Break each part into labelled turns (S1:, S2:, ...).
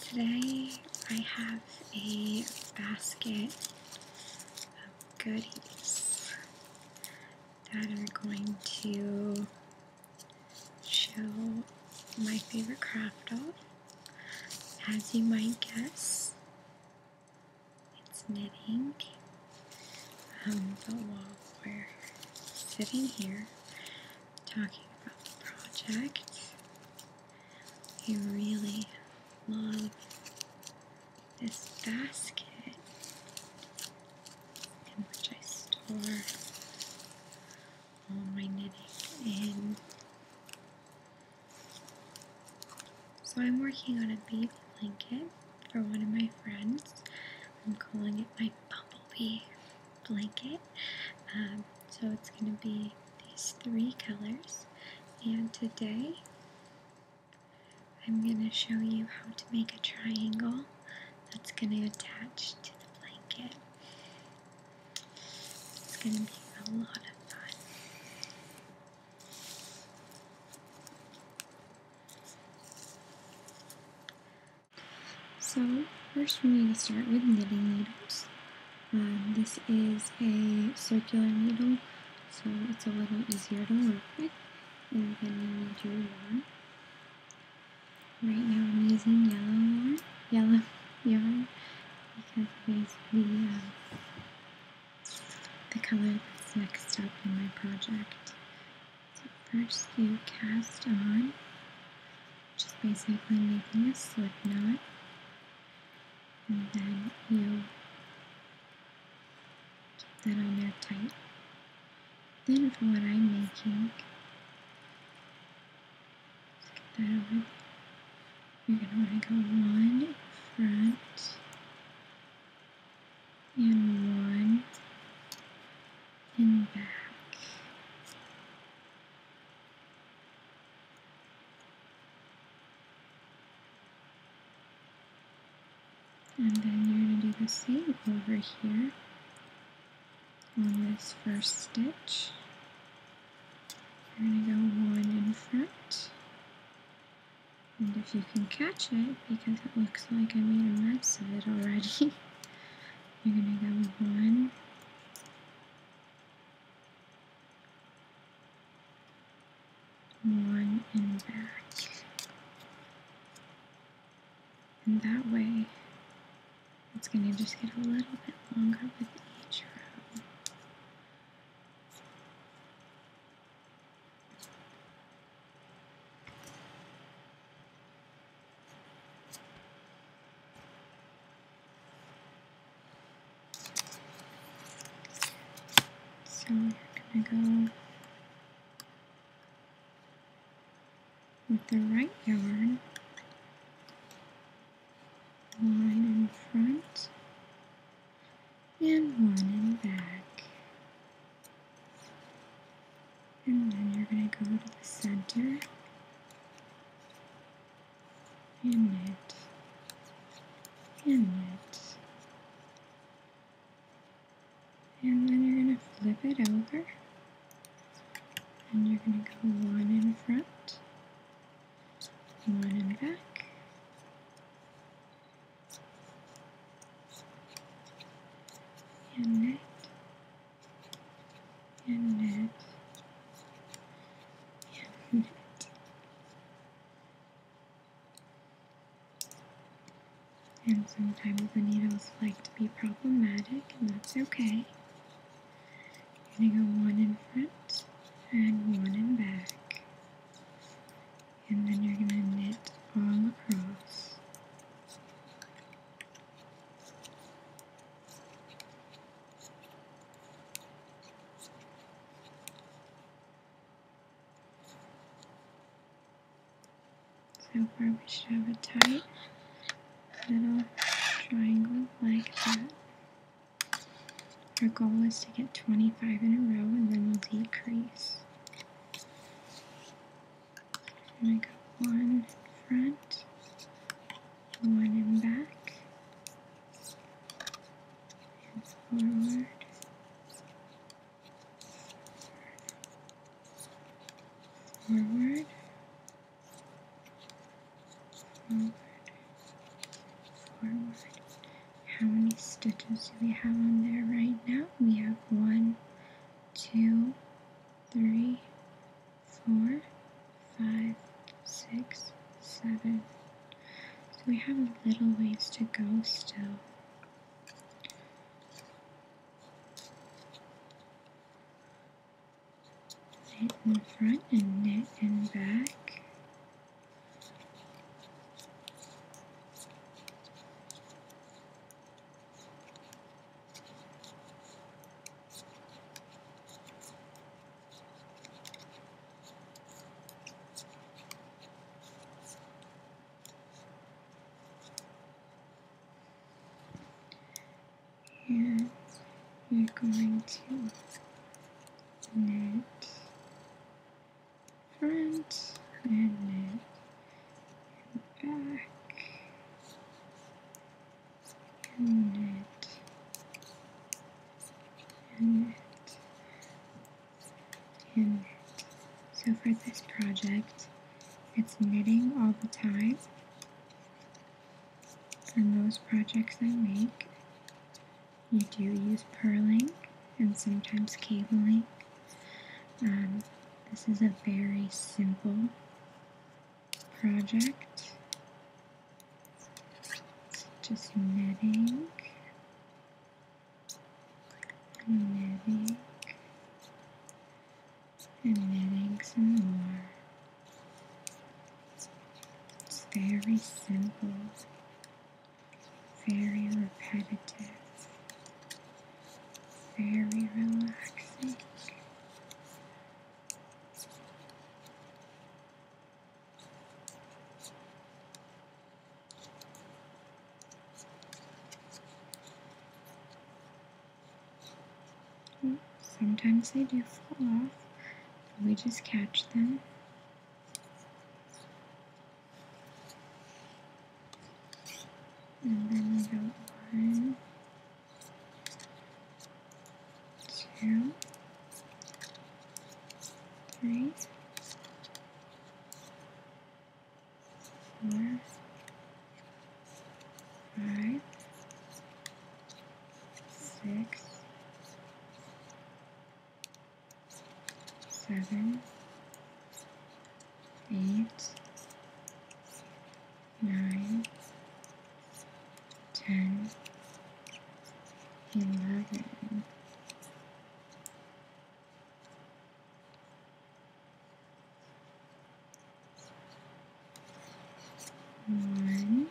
S1: Today I have a basket of goodies that are going to show my favorite craft of, As you might guess, it's knitting. Um, but while we're sitting here, talking about the project. I really love this basket in which I store all my knitting in. So I'm working on a baby blanket for one of my friends. I'm calling it my bumblebee blanket. Um, so it's going to be these three colors, and today I'm going to show you how to make a triangle that's going to attach to the blanket. It's going to be a lot of fun. So first we need to start with knitting needles. Um, this is a circular needle, so it's a little easier to work with. And then you need yarn. Right now I'm using yellow yarn, yellow yarn, because it is the, um, the color that's next up in my project. So first you cast on just basically making a slip knot and then you keep that on there tight. Then for what I'm making, get that over You're going to want to go one in front and one and back. And then you're going to do the same over here on this first stitch. You're going to go one in front. And if you can catch it, because it looks like I made a mess of it already, You're gonna go one, one, and back. And that way, it's gonna just get a little bit longer with each row. So gonna go with the right yarn one in front and one in back and then you're going to go to the center and knit and knit and then you're going to flip it over and you're going to go one in front one in back and knit and knit, and knit. And sometimes the needles like to be problematic, and that's okay. You're gonna go one in front and one in back. And then you're gonna knit all across. So far we should have a tight little triangle like that. Our goal is to get 25 in a row and then we'll decrease. I got one in front, one in back, and forward. Forward, forward, forward. How many stitches do we have on there right now? We have one, two, three, four, five, six, seven. So we have a little ways to go still. Knit in front and knit in back. And we're going to knit front and knit back knit knit knit. So for this project, it's knitting all the time for most projects I make. You do use purling and sometimes cabling. Um, this is a very simple project. Just netting, and netting, and netting some more. It's very simple, very repetitive very relaxing. Mm, sometimes they do fall off, but we just catch them. And then we go on two, three, four, five, six, seven, eight, nine, ten, eleven. One,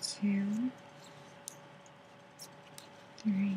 S1: two, three,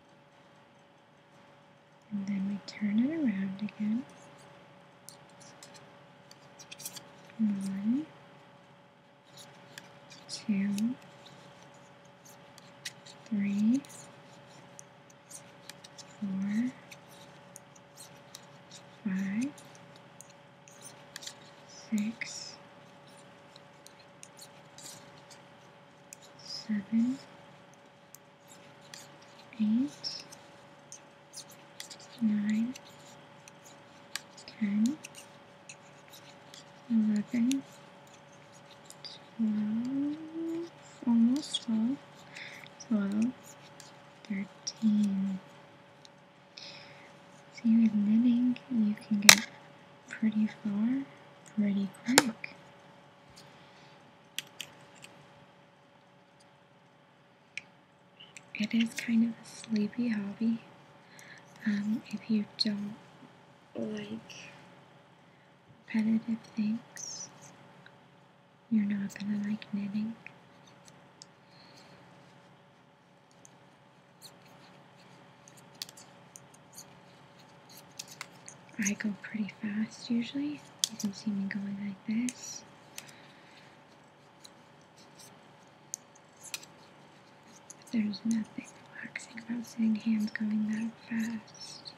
S1: And then we turn it around again. One, two, three, four, five, six, seven, eight, nine, ten, eleven, twelve, almost twelve, twelve, thirteen. See, with knitting, you can get pretty far, pretty quick. It is kind of a sleepy hobby. Um, if you don't like repetitive things, you're not gonna like knitting. I go pretty fast usually. You can see me going like this. there's nothing relaxing about seeing hands going that fast.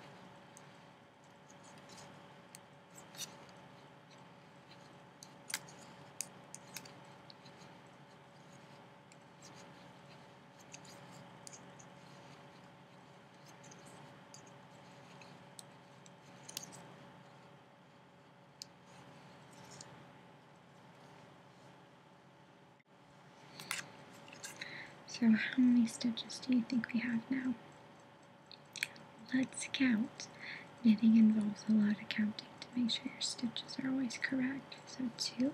S1: So how many stitches do you think we have now? Let's count. Knitting involves a lot of counting to make sure your stitches are always correct. So two,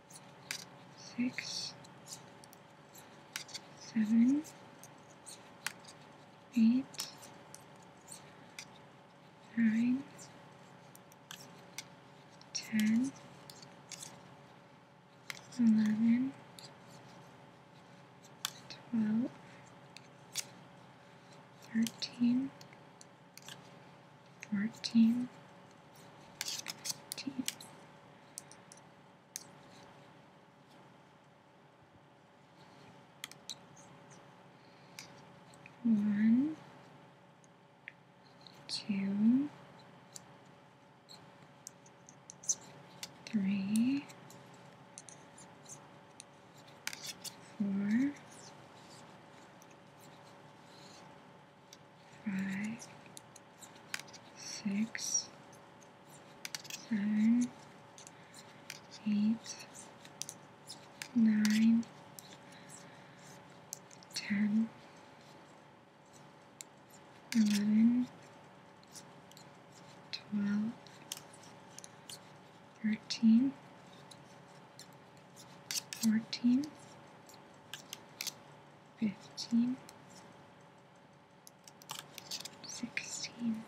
S1: six, seven, eight, nine, ten, eleven, twelve, thirteen. 14, 15, 1, 2, 3, 4, five, six, seven, eight, nine, ten, eleven, twelve, thirteen fourteen, fifteen, sixteen.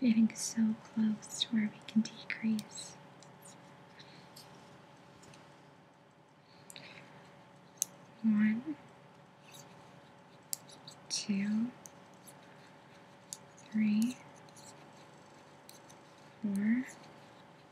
S1: We're getting so close to where we can decrease. One, two, three, four,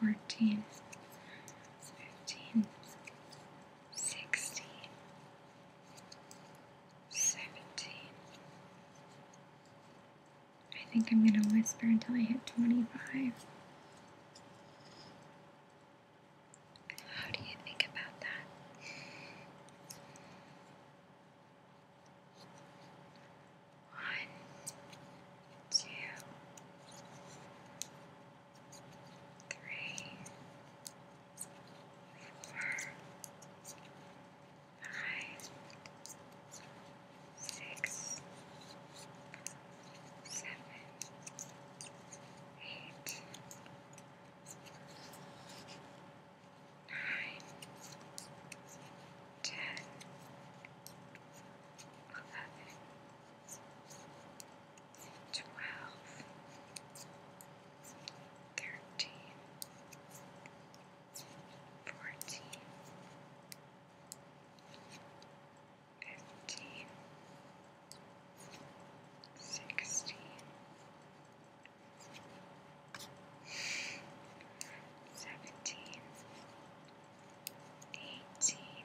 S1: 14, 15, 16, 17. I think I'm going to whisper until I hit 25. How do you think about that? One, two, three, four, five, six, seven, eight, nine, ten, eleven. 12, twelve, thirteen, fourteen, fifteen, sixteen. Seventeen, eighteen,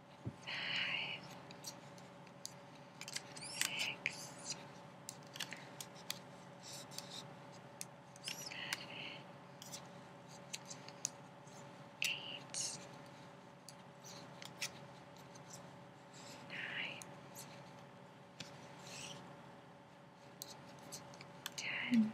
S1: five, six, seven, eight, nine, ten, eleven,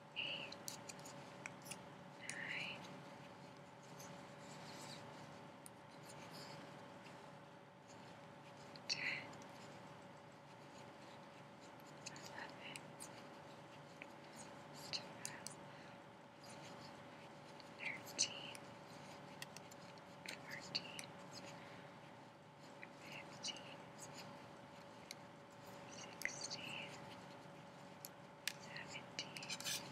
S1: eight, nine, ten, eleven, twelve, thirteen, fourteen, fifteen sixteen, seventeen, eighteen,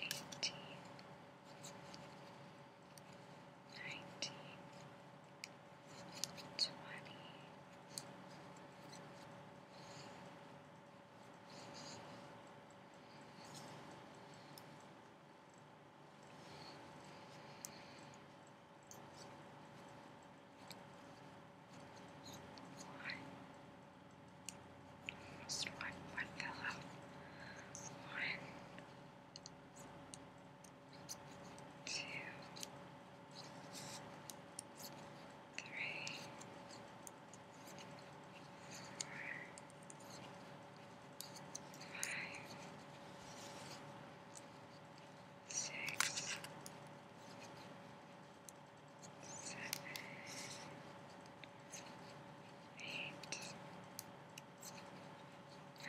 S1: nineteen, twenty. Twenty-one, one. Almost one. One pillow. One. Two. Three. Four. Five six, seven, eight, nine, ten, eleven, twelve, thirteen. 14,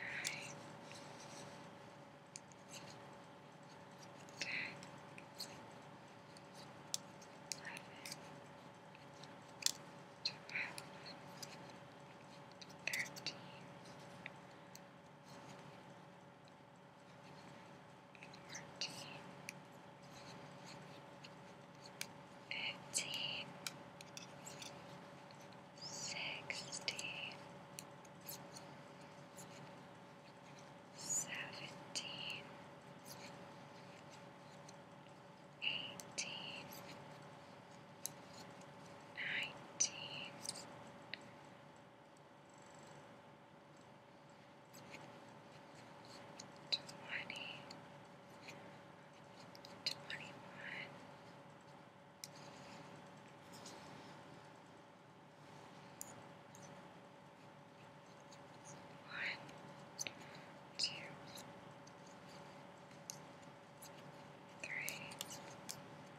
S1: fourteen, fifteen, sixteen, seventeen, eighteen, nineteen. Twenty, twenty-one, one, two, three, four.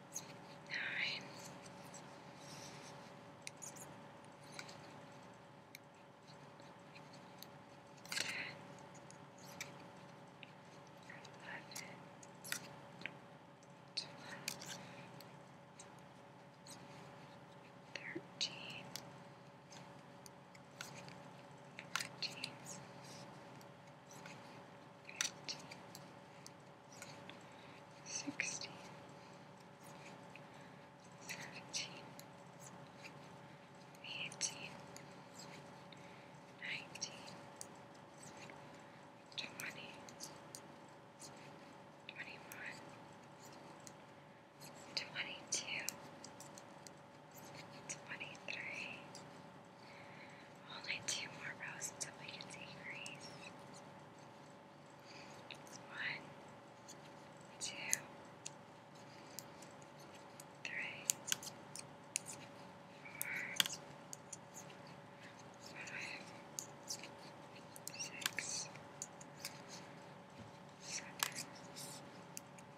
S1: Alright. Okay. Thirteen. 15, sixteen, seventeen, eighteen, nineteen, twenty, twenty-one, twenty-two, twenty-three. 23 24 25 26 only two more rows until we can see Grace. One, two, three, four, five, six, seven, eight,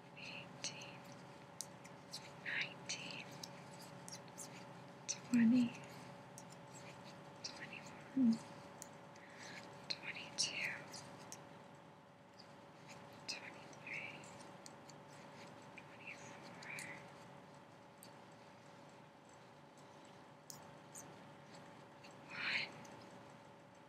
S1: eighteen, nineteen, twenty, twenty-one, twenty-two, twenty-three, twenty-four. One,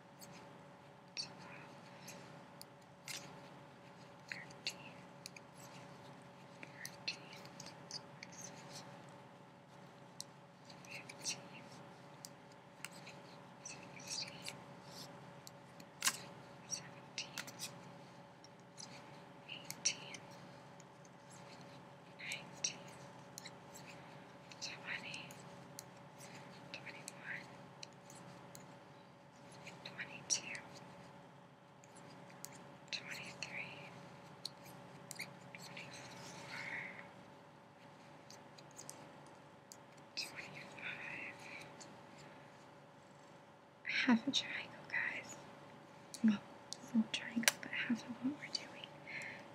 S1: tomorrow. Thirteen. Fourteen. Fifteen. Sixteen. Seventeen. Eighteen. Nineteen. Twenty twenty-one, twenty-two, twenty-three, twenty-four, twenty-five. Half a triangle, guys. Well, it's not a triangle, but half of what we're doing.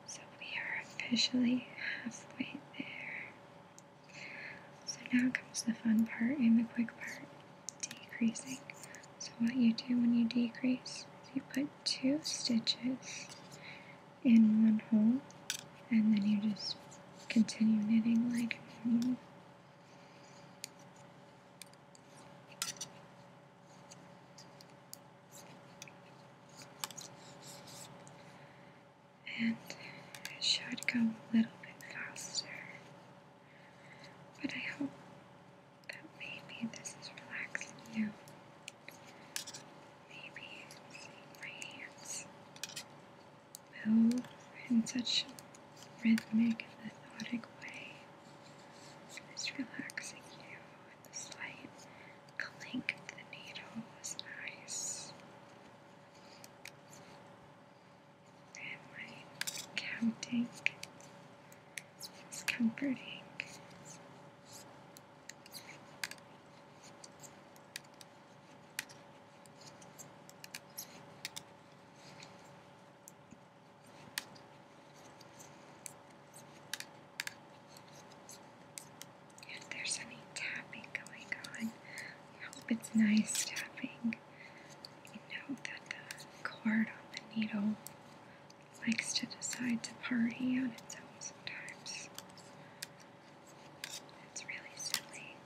S1: So we are officially halfway there. So now comes the fun part and the quick part decreasing. So, what you do when you decrease is you put two stitches in one hole and then you just continue knitting like normal and it should go a little bit faster. But I hope that maybe this is relaxing you. Maybe seeing my hands move in such rhythmic and methodic way it's relaxing you with the slight clink of the needle was nice. And my counting was comforting. If there's any tapping going on, I hope it's nice tapping. You know that the cord on the needle likes to decide to party on its own sometimes. It's really silly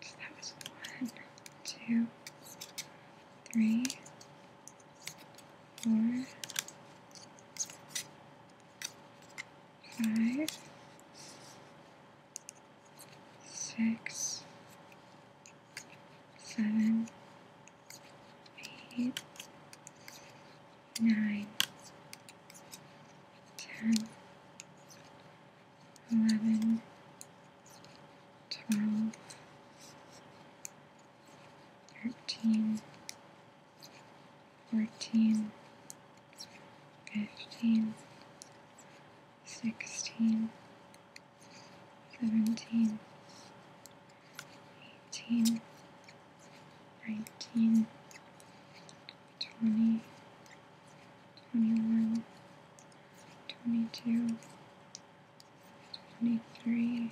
S1: that was one, two, three, four, five, six, seven, eight, nine, ten, eleven, twelve, thirteen, fourteen, fifteen, sixteen, seventeen. 18, 19, 20, 21, 22, 23,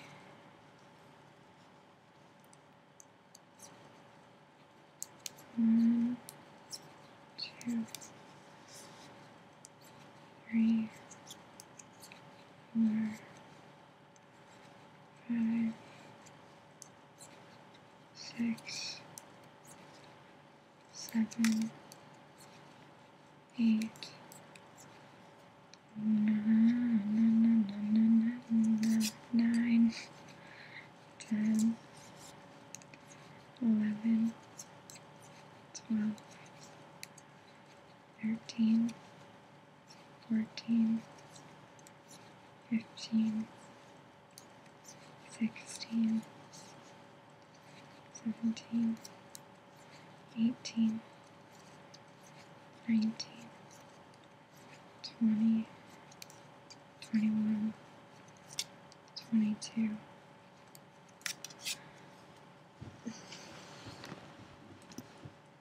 S1: five, six, seven, eight, nine, nine, nine, nine ten, eleven, twelve, thirteen. 14, 15, 16, 17, 18, 19, 20, 21, 22.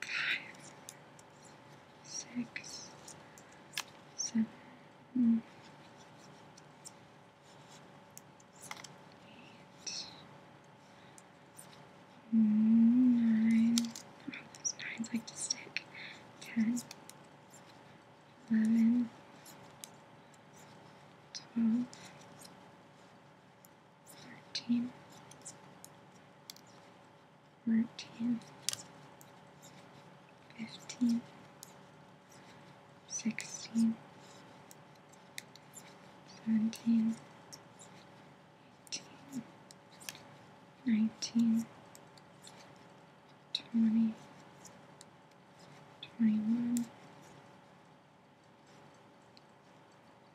S1: five, six, seven, eight, nine. Oh, those nines like to stick. Ten, eleven, twelve thirteen, fourteen, fifteen, sixteen, seventeen, eighteen, nineteen, twenty, twenty-one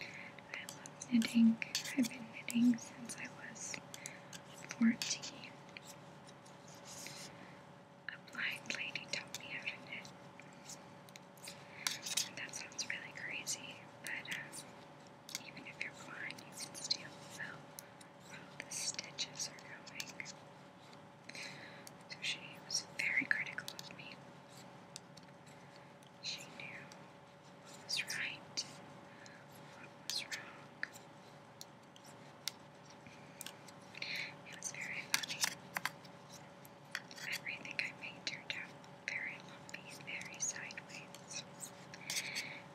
S1: I love knitting. I've been knitting since I was 14. A blind lady taught me how to knit. that sounds really crazy, but uh, even if you're blind, you can still feel the stitches are going. So she was very critical of me. She knew what was right, what was wrong. It was very funny. Everything I made turned out very lumpy, very sideways.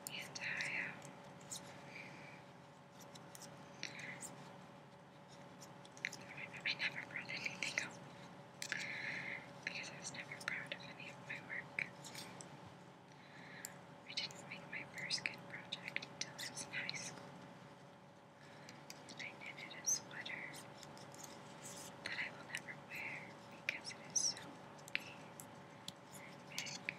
S1: And I, um, I never brought anything home because I was never proud of any of my work. I didn't make my first good project until I was in high school. And I knitted a sweater that I will never wear because it is so bulky and big.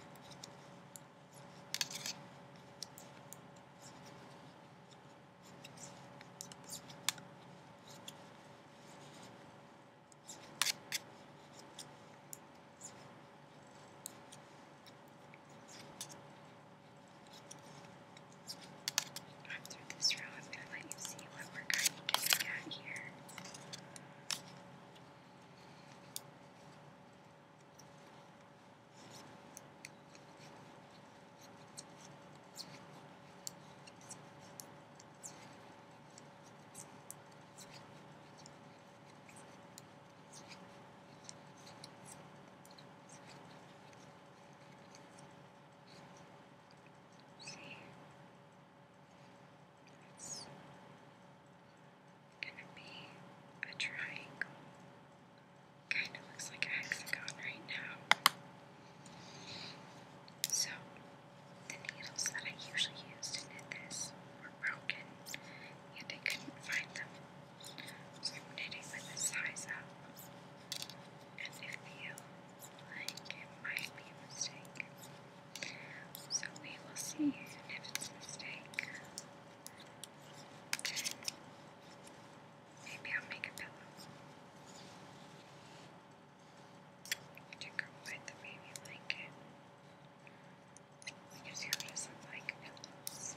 S1: After this row, I'm going to let you see what we're kind of getting at here. It's gonna be a triangle. Kind of looks like a hexagon right now. So, the needles that I usually use to knit this were broken, and I couldn't find them. So I'm knitting with a size up, and I feel like it might be a mistake. So we will see, if it's a mistake, Maybe I'll make a pillow. I the baby blanket. Because he does like pillows.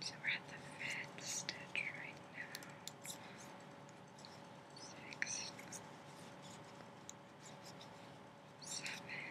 S1: So we're at the fifth stitch right now. Six, seven,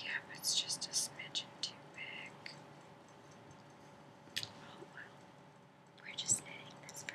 S1: Yeah, but it's just a smidge too big. Oh well. We're just knitting this for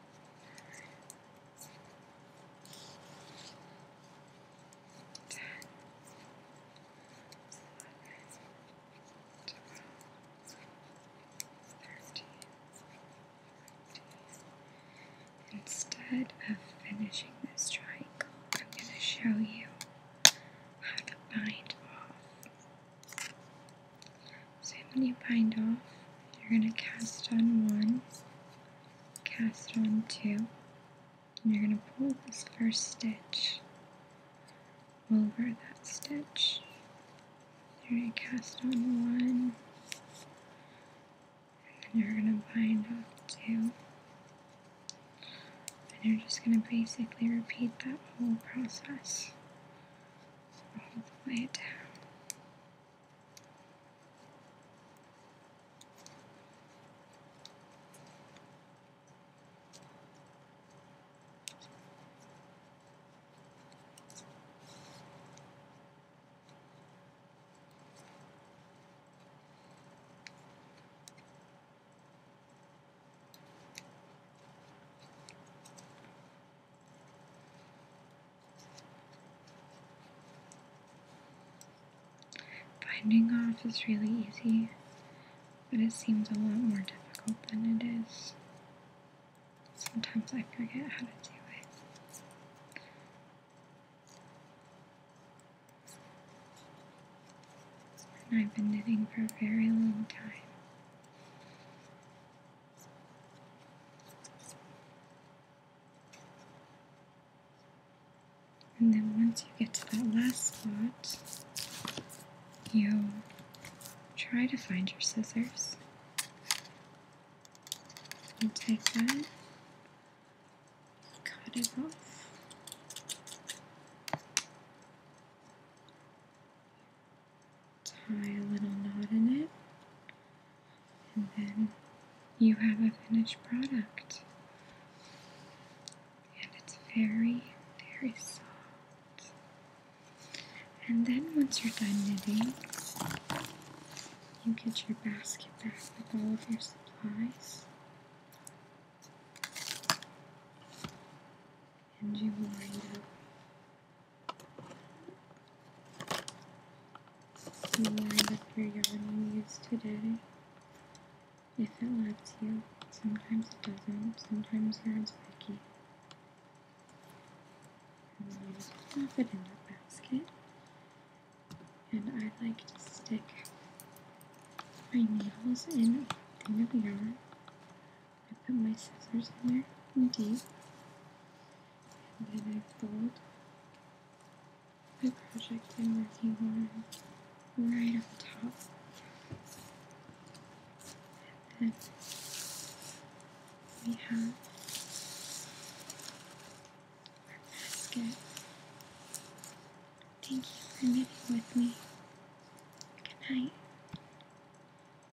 S1: Instead of finishing this triangle, I'm going to show you how to bind off so when you bind off, you're going to cast on one, cast on two, and you're going to pull this first stitch over that stitch. You're going to cast on one, and then you're going to bind off two. And you're just going to basically repeat that whole process all the way down. Finding off is really easy, but it seems a lot more difficult than it is. Sometimes I forget how to do it. And I've been knitting for a very long time. And then once you get to that last spot, you try to find your scissors. You take cut it off tie a little knot in it, and then you have a finished product. And it's very, very soft. And then once you're done knitting, you get your basket back with all of your supplies. And you wind up See why the prayer you use today. If it lets you, sometimes it doesn't, sometimes you're as picky. And then you just plop it in the basket. And I like to stick my needles in a thing of yarn I put my scissors in there, indeed. And then I fold my project in am working on right up top. then we have our basket. Thank you for meeting with me. Good night.